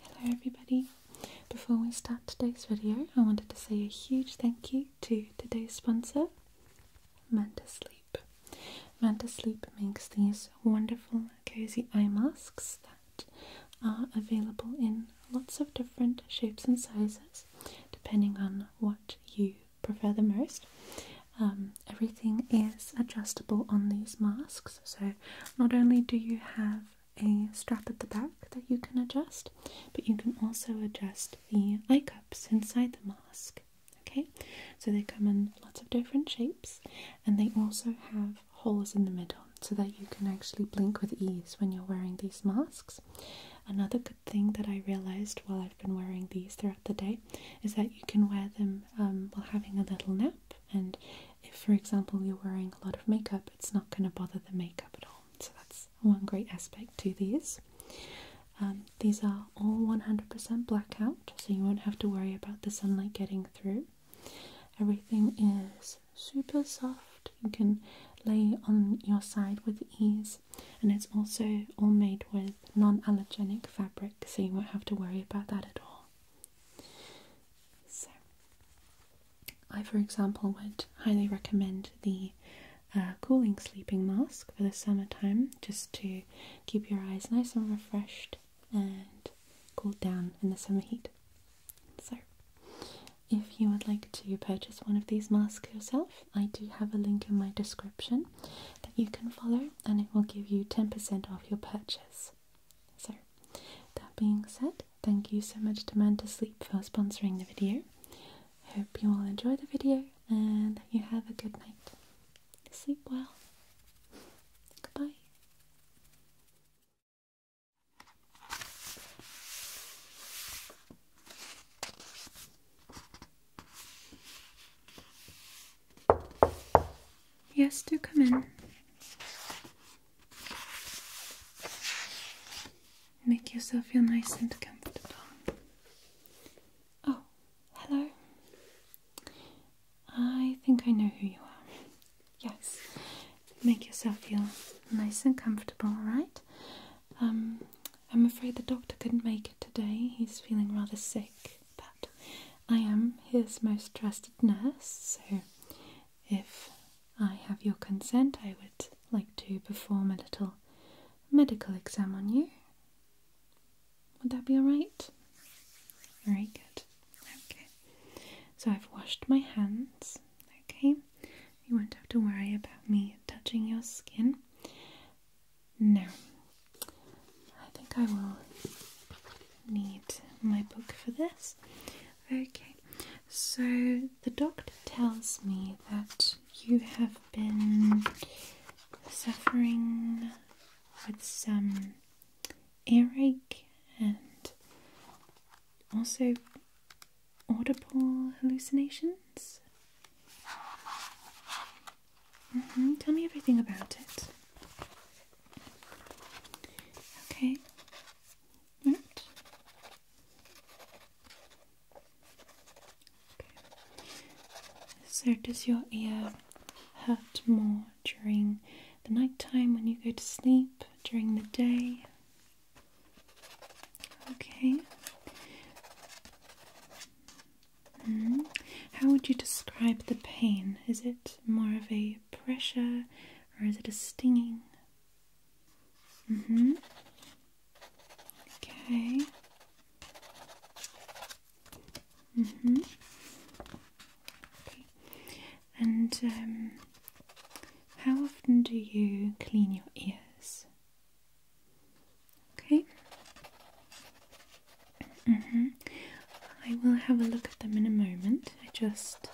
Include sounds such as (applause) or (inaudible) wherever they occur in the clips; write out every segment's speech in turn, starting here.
Hello everybody. Before we start today's video, I wanted to say a huge thank you to today's sponsor, Manta Sleep. Manta Sleep makes these wonderful cozy eye masks that are available in lots of different shapes and sizes depending on what you prefer the most. Um, everything is adjustable on these masks so, not only do you have a strap at the back that you can adjust, but you can also adjust the eye cups inside the mask. Okay, so they come in lots of different shapes and they also have holes in the middle so that you can actually blink with ease when you're wearing these masks. Another good thing that I realized while I've been wearing these throughout the day is that you can wear them um, while having a little nap, and if, for example, you're wearing a lot of makeup, it's not going to bother the makeup at all. So that's one great aspect to these. Um, these are all 100% blackout, so you won't have to worry about the sunlight getting through. Everything is super soft. You can lay on your side with ease, and it's also all made with non allergenic fabric, so you won't have to worry about that at all. So, I, for example, would highly recommend the uh, cooling sleeping mask for the summertime just to keep your eyes nice and refreshed and cooled down in the summer heat. So, if you would like to purchase one of these masks yourself, I do have a link in my description that you can follow and it will give you 10% off your purchase. So, that being said, thank you so much to Man to Sleep for sponsoring the video. Hope you all enjoy the video and you have a good night. Sleep well. Goodbye. Yes, do come in. Make yourself feel nice and comfortable. Oh, hello. I think I know who you are. Yes. Make yourself feel nice and comfortable, right? Um, I'm afraid the doctor couldn't make it today. He's feeling rather sick, but I am his most trusted nurse, so if I have your consent, I would like to perform a little medical exam on you. Would that be alright? Very good. Okay. So I've washed my hands. Okay. You won't have to worry about me touching your skin. No. I think I will need my book for this. Okay, so the doctor tells me that you have been suffering with some earache and also audible hallucinations. Mm-hmm. Tell me everything about it. Okay, Right. So does your ear hurt more during the night time when you go to sleep, during the day? Okay. Hmm. How would you describe the pain? Is it more of a pressure or is it a stinging? Mm hmm. Okay. Mm hmm. Okay. And um, how often do you clean your ears? Okay. Mm hmm. I will have a look at them in a moment. I just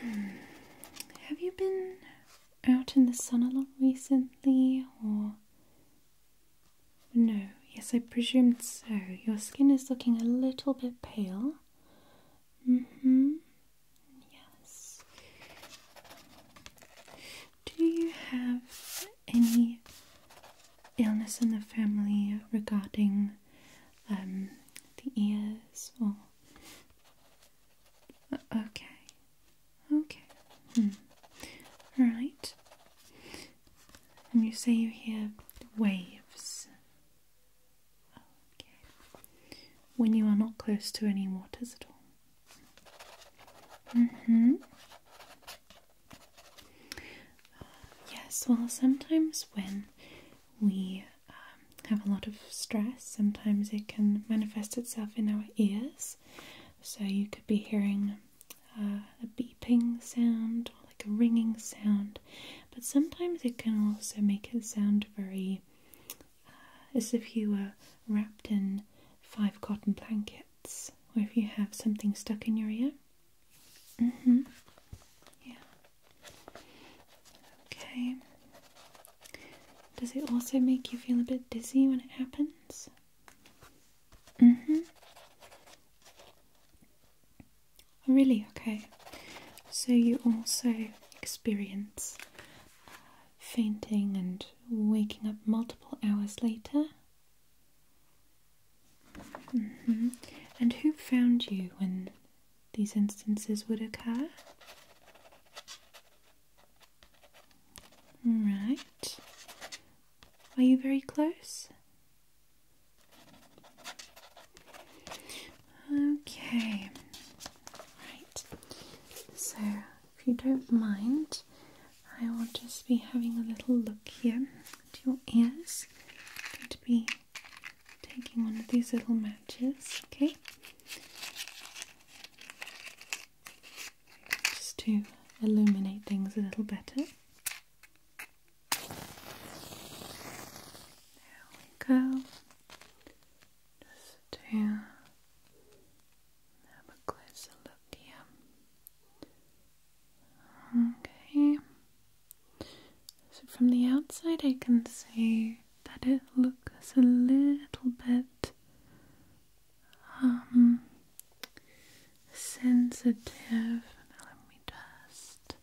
have you been out in the sun a lot recently or no? Yes, I presumed so. Your skin is looking a little bit pale. Mm hmm. Yes. Do you have any illness in the family regarding um, the ears or uh, okay okay hmm. right and you say you hear waves okay when you are not close to any waters at all mm-hmm Yes, well, sometimes when we um, have a lot of stress, sometimes it can manifest itself in our ears. So you could be hearing uh, a beeping sound, or like a ringing sound, but sometimes it can also make it sound very uh, as if you were wrapped in five cotton blankets, or if you have something stuck in your ear. Mm-hmm. Yeah. Okay. Does it also make you feel a bit dizzy when it happens? Mm-hmm. Oh, really? Okay. So you also experience uh, fainting and waking up multiple hours later? Mm-hmm. And who found you when these instances would occur. Right. Are you very close? Okay. Right. So, if you don't mind, I will just be having a little look here at your ears. to be taking one of these little matches, okay? Just to illuminate things a little better. There we go. Just to have a closer look here. Okay. So from the outside, I can see that it looks a little bit um, sensitive. let me just.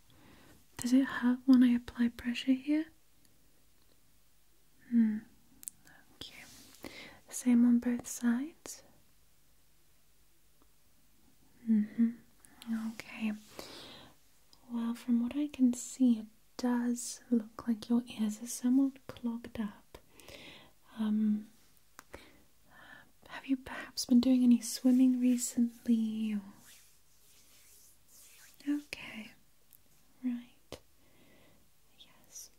Does it hurt when I apply pressure here? Hmm. Okay. Same on both sides. Mm-hmm. Okay. Well, from what I can see, it does look like your ears are somewhat clogged up. Um, have you perhaps been doing any swimming recently? Okay, right. Yes.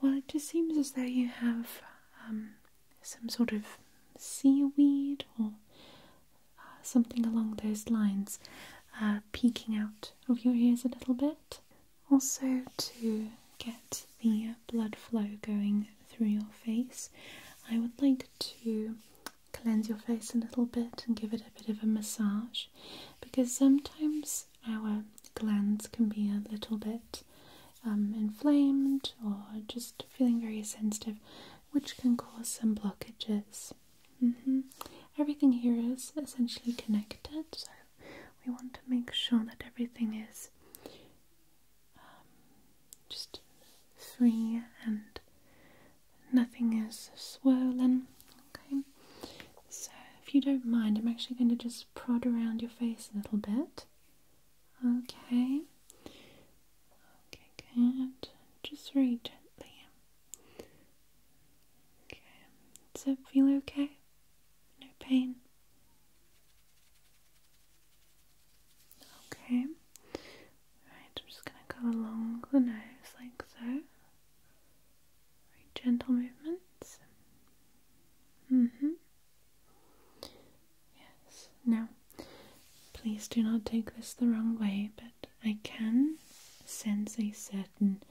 Well, it just seems as though you have um, some sort of seaweed or something along those lines uh, peeking out of your ears a little bit. Also, to get the blood flow going through your face, I would like to cleanse your face a little bit and give it a bit of a massage because sometimes our glands can be a little bit um, inflamed or just feeling very sensitive which can cause some blockages. Mm-hmm. Everything here is essentially connected, so we want to make sure that everything is um, just free and nothing is swirling. Okay, so if you don't mind, I'm actually going to just prod around your face a little bit. Okay, Okay, good. Just very gently. Okay. Does it feel okay? No pain? Okay. Alright, I'm just gonna go along the nose like so. Very gentle movements. Mm-hmm. Yes. Now, please do not take this the wrong way, but I can sense a certain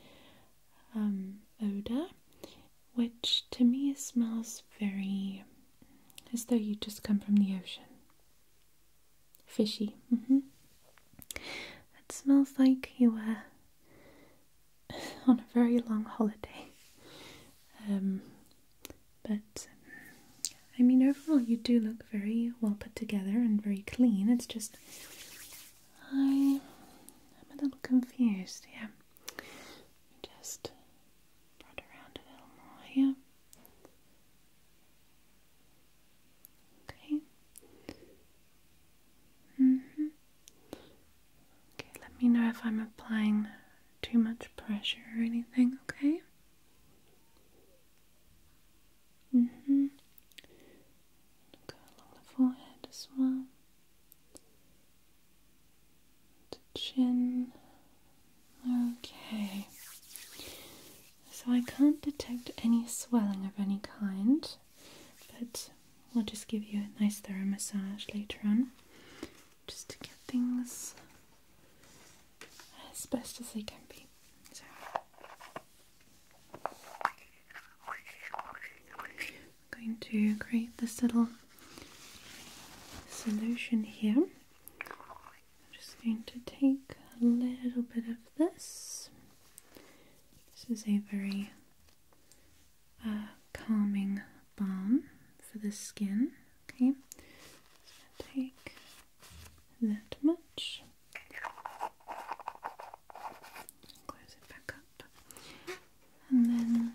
um, odor, which to me smells very as though you just come from the ocean. Fishy. Mm It smells like you were (laughs) on a very long holiday. Um, but I mean, overall, you do look very well put together and very clean. It's just I, I'm a little confused. Yeah, just around a little more here. Okay. Mhm. okay. Let me know if I'm applying too much pressure or anything. Okay. Mm hmm. Go along the forehead as well. The chin. Okay. So I can't detect any swelling of any kind, but we'll just give you a nice thorough massage later on just to get things as best as they can be. So. I'm going to create this little solution here. I'm just going to take a little bit of this. This is a very uh, calming balm for the skin. Okay, so take that much. Close it back up. And then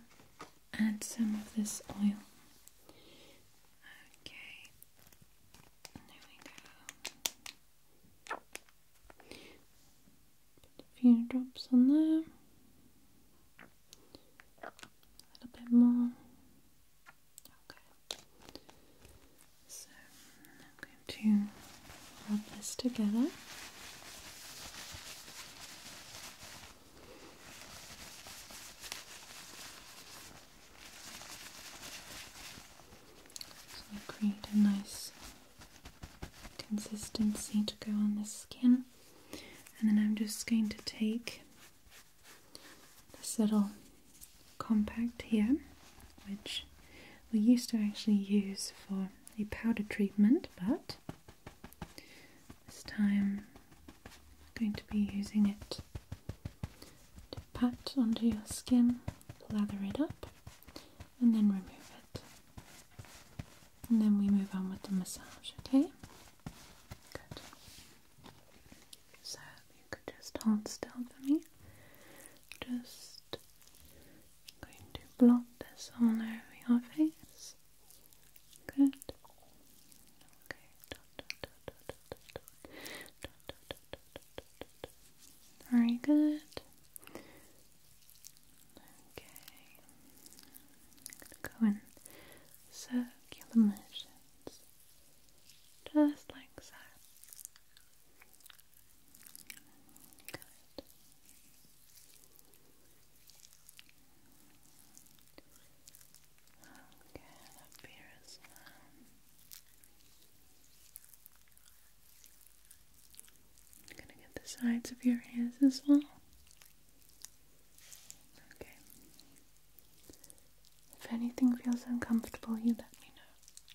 add some of this oil. Okay. There we go. Put a few drops on there. A little bit more. Okay. So I'm going to rub this together. So I create a nice consistency to go on the skin, and then I'm just going to take this little compact here, which we used to actually use for a powder treatment, but this time I'm going to be using it to pat onto your skin, lather it up, and then remove it. And then we move on with the massage, okay? So you could just hold still for me. Just going to blot this all over your face. Good. Okay. Very good. Okay. go in circular motions. Just like so. Okay, here as well. gonna get the sides of your ears as well. Okay. If anything feels uncomfortable, you let me know.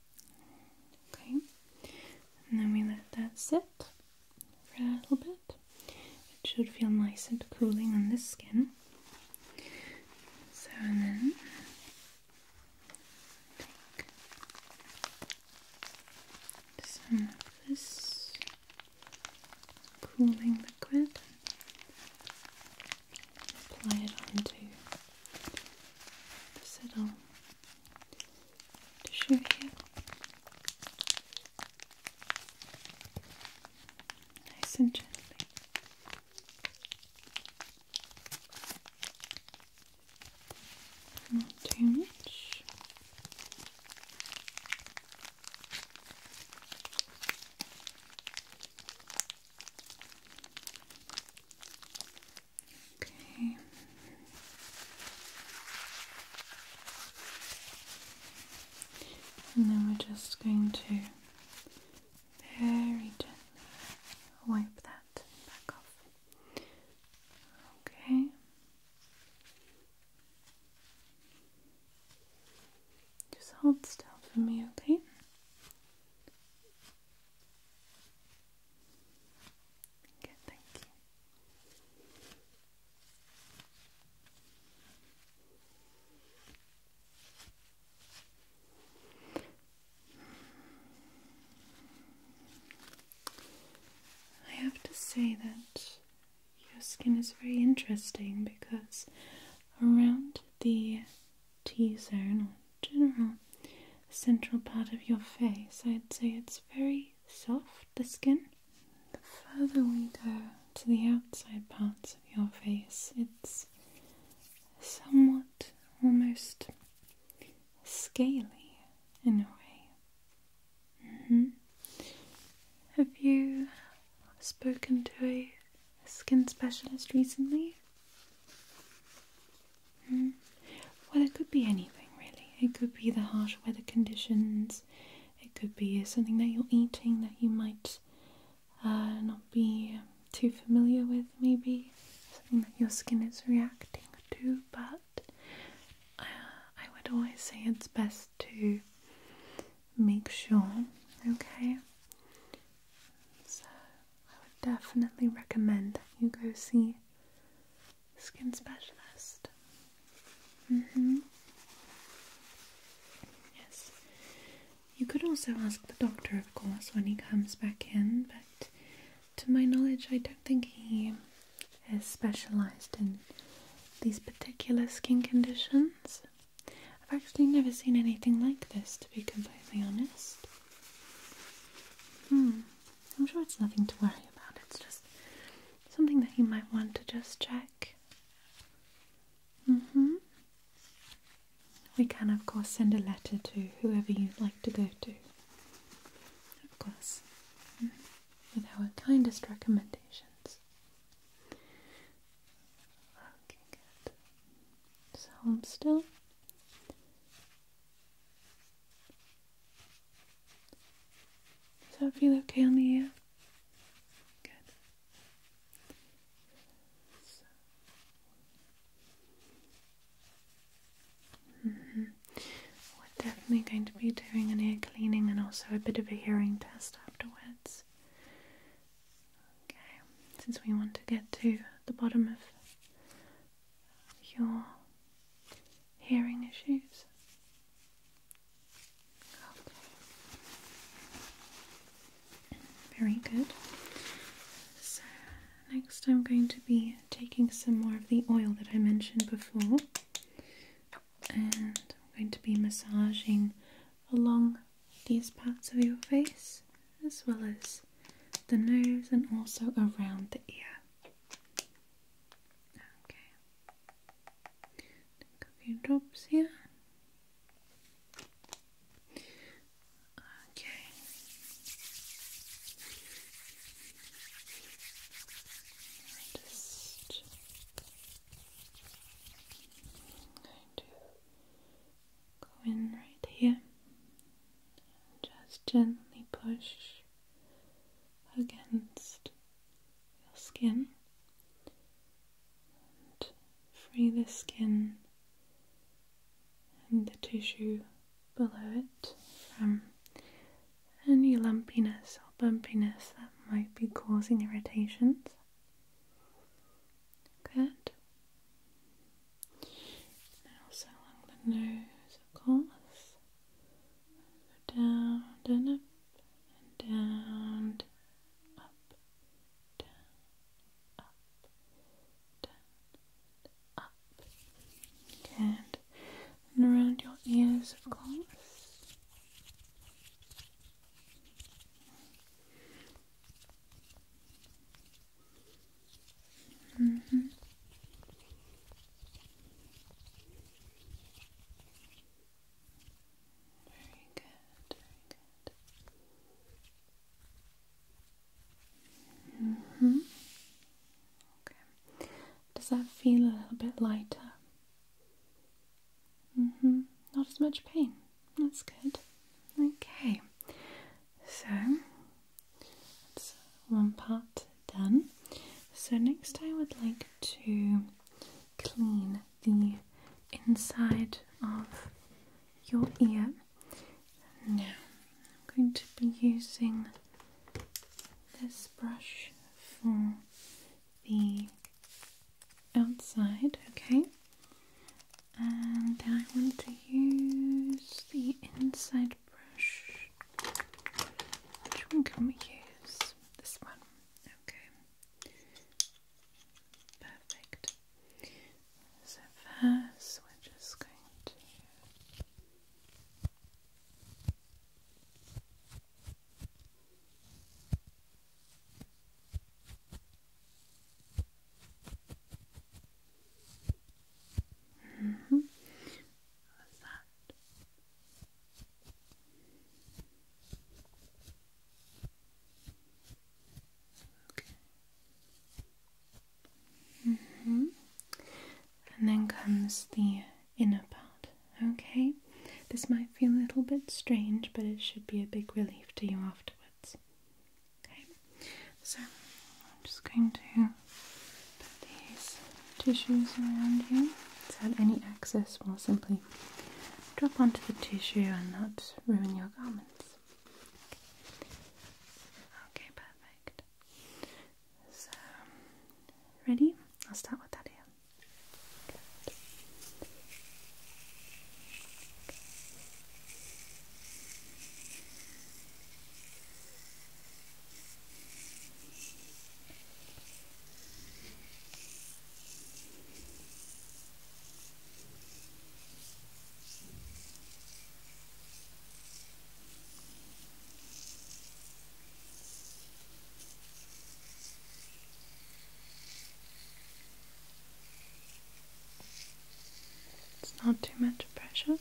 Okay, and then we let that sit for a little bit. It should feel nice and cooling on the skin. So, and then take some of this cooling liquid, apply onto the little to show you. Nice and gently. Not too much. Okay. And then we're just going to very gently wipe that back off. Okay. Just hold still for me, okay? I have to say that your skin is very interesting because around the T zone or general central part of your face. I'd say it's very soft, the skin. The further we go to the outside parts of your face, it's somewhat almost scaly in a way. Mm-hmm. Have you spoken to a skin specialist recently? Hmm. Well, it could be anything really. It could be the harsh weather conditions, it could be something that you're eating that you might uh, not be too familiar with, maybe something that your skin is reacting to. But uh, I would always say it's best to make sure, okay? So, I would definitely recommend that you go see skin specialist. Mm-hmm. Yes. You could also ask the doctor, of course, when he comes back in, but to my knowledge, I don't think he is specialized in these particular skin conditions. I've actually never seen anything like this, to be completely honest. Hmm. I'm sure it's nothing to worry about, it's just something that you might want to just check. Mm-hmm. We can, of course, send a letter to whoever you'd like to go to. Of course, mm-hmm. with our kindest recommendations. Okay, good. So, i so, that feel okay on the ear? Good. Mm-hmm. We're definitely going to be doing an ear cleaning and also a bit of a hearing test afterwards. Okay, since we want to get to the bottom of your hearing issues? Okay. Very good. So, next I'm going to be taking some more of the oil that I mentioned before, and I'm going to be massaging along these parts of your face as well as the nose and also around the ear. Okay. a few drops here. Okay. Just going to go in right here and just gently push against your skin and free the skin and the tissue below it from any lumpiness or bumpiness that might be causing irritations. Good. Now, also along the nose, of course. So down and up and down, up, down, up, down, up. And around your ears, of course. -hmm. Very good, -hmm. Okay. Does that feel a little bit lighter? Mm hmm. Not as much pain. That's good. Okay. So one part done. So, next I would like to clean the inside of your ear. Now, I'm going to be using this brush for the outside, okay? And then I want to use the inside which one can we use? This one. Okay. Perfect. So first, we're just going to. Mm -hmm. What's that? Mm-hmm. And then comes the inner part. Okay. This might feel a little bit strange, but it should be a big relief to you afterwards. Okay. So I'm just going to put these tissues around you so that any excess will simply drop onto the tissue and not ruin your garments. Okay, perfect. So, ready? I'll start with that here. It's not too much pressure.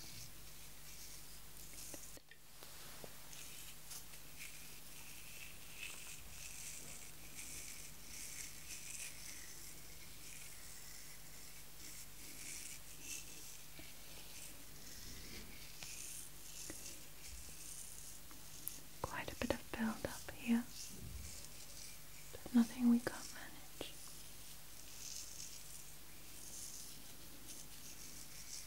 Quite a bit of build up here, but nothing we can't manage.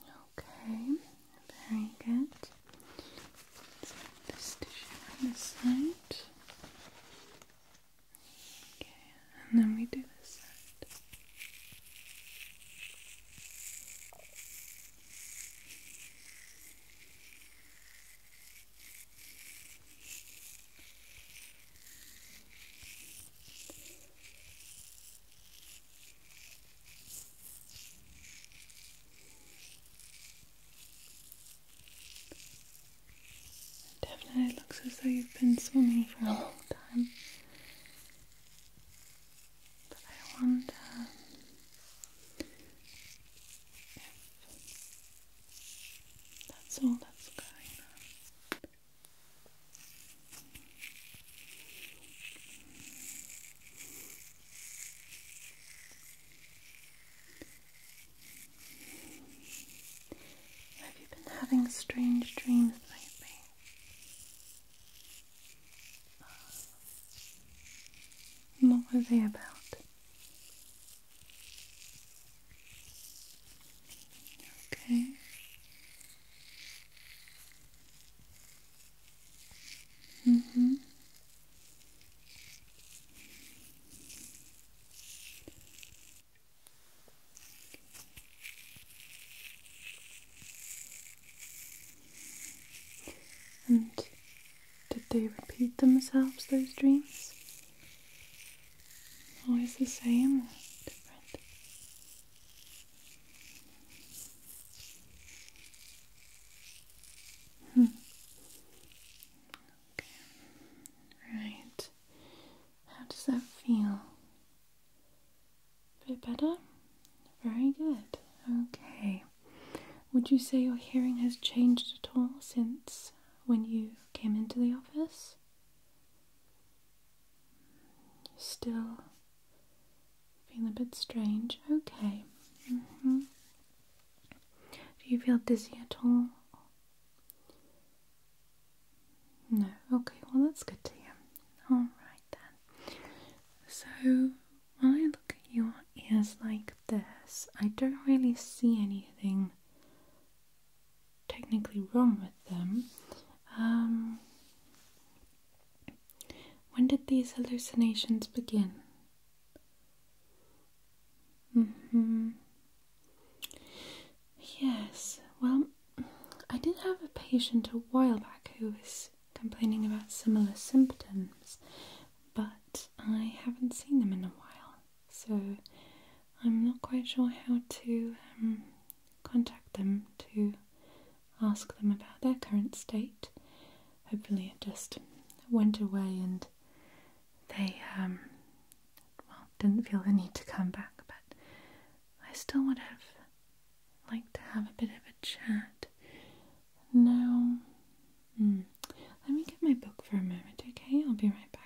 Okay, very good. this tissue on this side. Okay, and then we do this side. Definitely looks as though you've been swimming for a long time. But I wonder if that's all that's going on. Have you been having strange dreams lately? What were they about? Okay. Mm hmm And did they repeat themselves, those dreams? Always the same different? Hmm. Right. How does that feel? A bit better? Very good. Okay. Would you say your hearing has changed at all since when you came into the office? still feeling a bit strange. Okay. Mm-hmm. Do you feel dizzy at all? No. Okay. Well, that's good to hear. All right then. So when I look at your ears like this, I don't really see anything technically wrong with them. Um, when did these hallucinations begin? hmm. Yes, well, I did have a patient a while back who was complaining about similar symptoms, but I haven't seen them in a while, so I'm not quite sure how to um, contact them to ask them about their current state. Hopefully, it just went away and they um, well didn't feel the need to come back. But I still would have liked to have a bit of a chat. Now, hmm, let me get my book for a moment, okay? I'll be right back.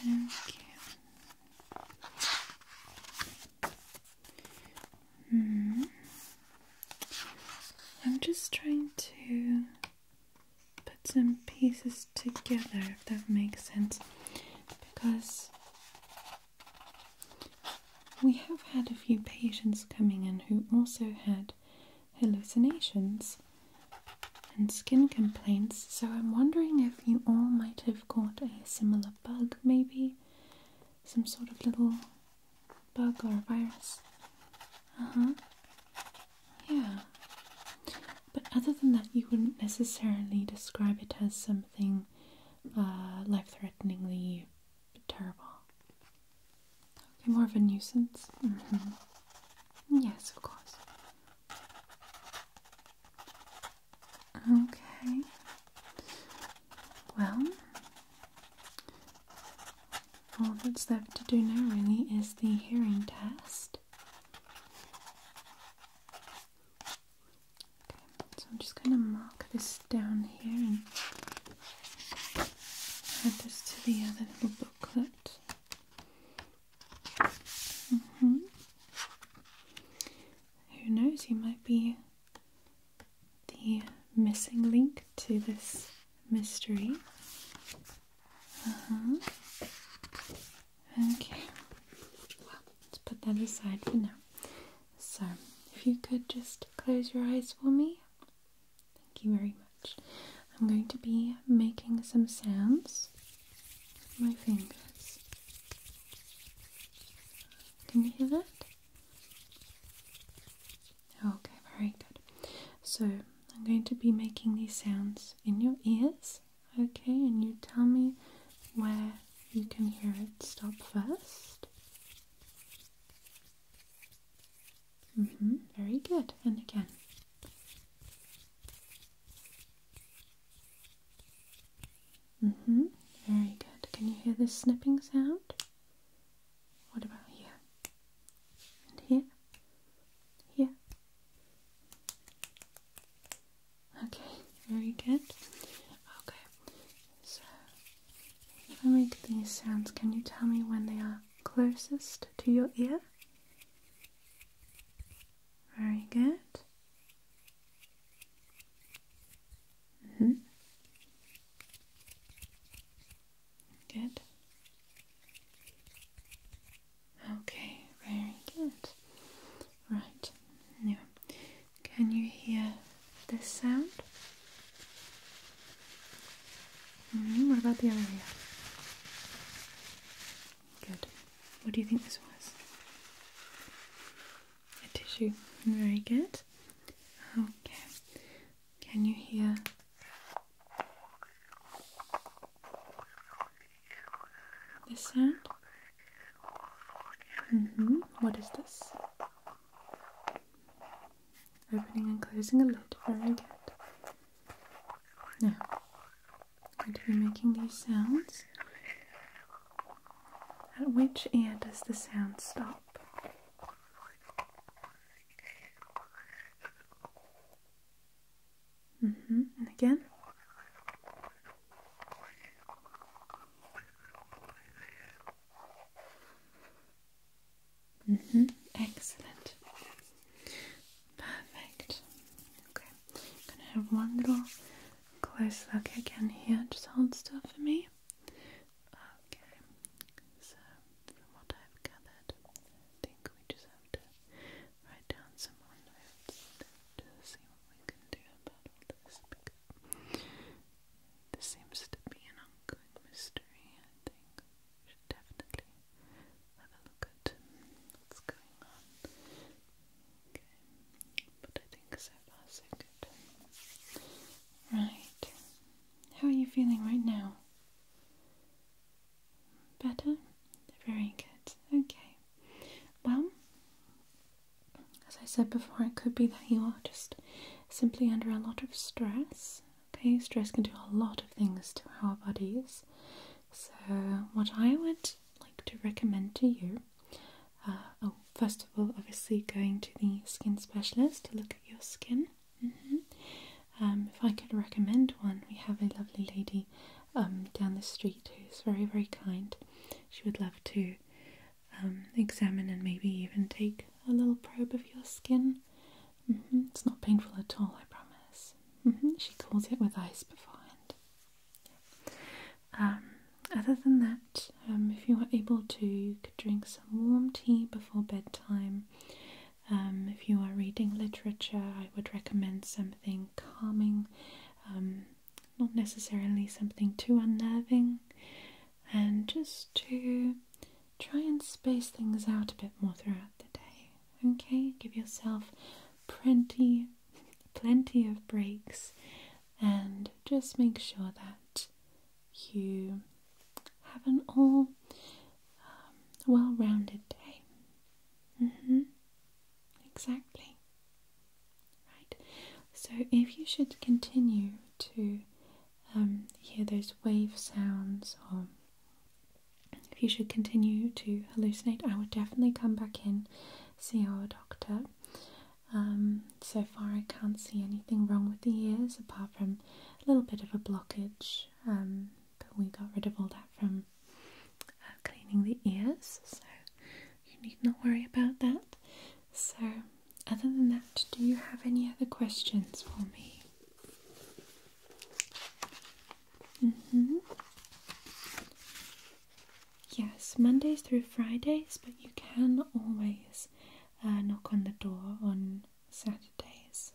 Okay. Mm. I'm just trying to put some pieces together if that makes sense because we have had a few patients coming in who also had hallucinations, and skin complaints. So I'm wondering if you all might have got a similar bug, maybe some sort of little bug or virus. Uh huh. Yeah. But other than that, you wouldn't necessarily describe it as something uh, life threateningly terrible. Okay, more of a nuisance. Mm-hmm. Yes, of course. Okay. Well, all that's left to do now really is the hearing test. so I'm just going to mark this down here and add this to the other little booklet. Mm-hmm. Who knows, you might be the missing link to this mystery. Uh-huh. Okay, let's put that aside for now. So, if you could just close your eyes for me. Thank you very much. I'm going to be making some sounds with my fingers. Can you hear that? Okay, very good. So, I'm going to be making these sounds in your ears, okay? And you tell me where you can hear it stop first. Mm-hmm, very good. And again. Mm-hmm. Very good. Can you hear this snipping sound? What about here? And here? Here? Okay, very good. Okay, so if I make these sounds, can you tell me when they are closest to your ear? Very good. Mm -hmm. Good. Okay, very good. Right. Now, can you hear this sound? Mm-hmm, what about the other ear? Good. What do you think this was? A tissue. Very good. Okay. Can you hear? This sound? Mm-hmm. What is this? Opening and closing a lid. Very good. Now, Going to be making these sounds. At which ear does the sound stop? Mm -hmm. again. Mm -hmm. Excellent. Perfect. Okay, I'm gonna have one little close look again here. Just hold still for me. Okay, so from what I've gathered, I think we just have to write down some more notes to uh, see what we can do about this because this seems to be an ongoing mystery. I we should definitely have a look at what's going on. Okay, but I think so far so good. Right, how are you feeling right now? Better? Very good. Okay. Well, as I said before, it could be that you are just simply under a lot of stress. Okay, stress can do a lot of things to our bodies. So, what I would like to recommend to you uh, oh, first of all, obviously, going to the skin specialist to look at your skin. Mm-hmm. um, if I could recommend one, we have a lovely lady um, down the street who's very, very kind. She would love to um, examine and maybe even take a little probe of your skin. Mm-hmm. It's not painful at all, I promise. Mm-hmm. She calls it with ice beforehand. Um, other than that, um, if you are able to, drink some warm tea before bedtime. Um, if you are reading literature, I would recommend something calming, not necessarily something too unnerving, and just to try and space things out a bit more throughout the day. Okay, give yourself plenty, plenty of breaks, and just make sure that you have an all um, well-rounded day. Mm-hmm. Exactly. Right. So if you should continue to um, hear those wave sounds or if you should continue to hallucinate, I would definitely come back in, see our doctor. Um, so far, I can't see anything wrong with the ears apart from a little bit of a blockage, um, but we got rid of all that from uh, cleaning the ears, so you need not worry about that. So, other than that, do you have any other questions for me? Mm hmm. Yes, Mondays through Fridays, but you can always uh, knock on the door on Saturdays.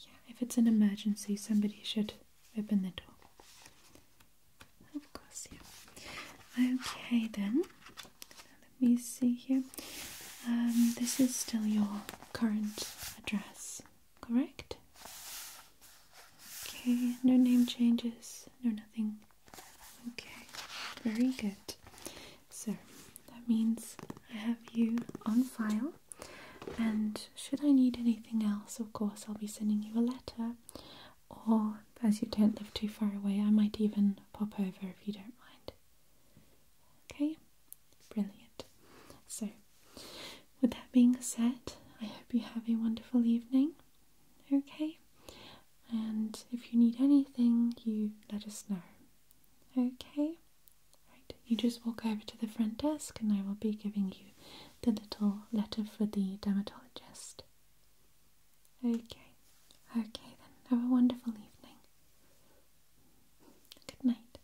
Yeah, if it's an emergency, somebody should open the door. Of course, yeah. Okay, then. Let me see here. Um, this is still your current address correct? Okay, no name changes, no nothing. Okay, very good. So that means I have you on file. And should I need anything else, of course, I'll be sending you a letter. Or as you don't live too far away, I might even pop over if you don't mind. Okay, brilliant. So with that being said, I hope you have a wonderful evening. Okay? And if you need anything, you let us know. Okay? Right. You just walk over to the front desk and I will be giving you the little letter for the dermatologist. Okay. Okay then. Have a wonderful evening. Good night.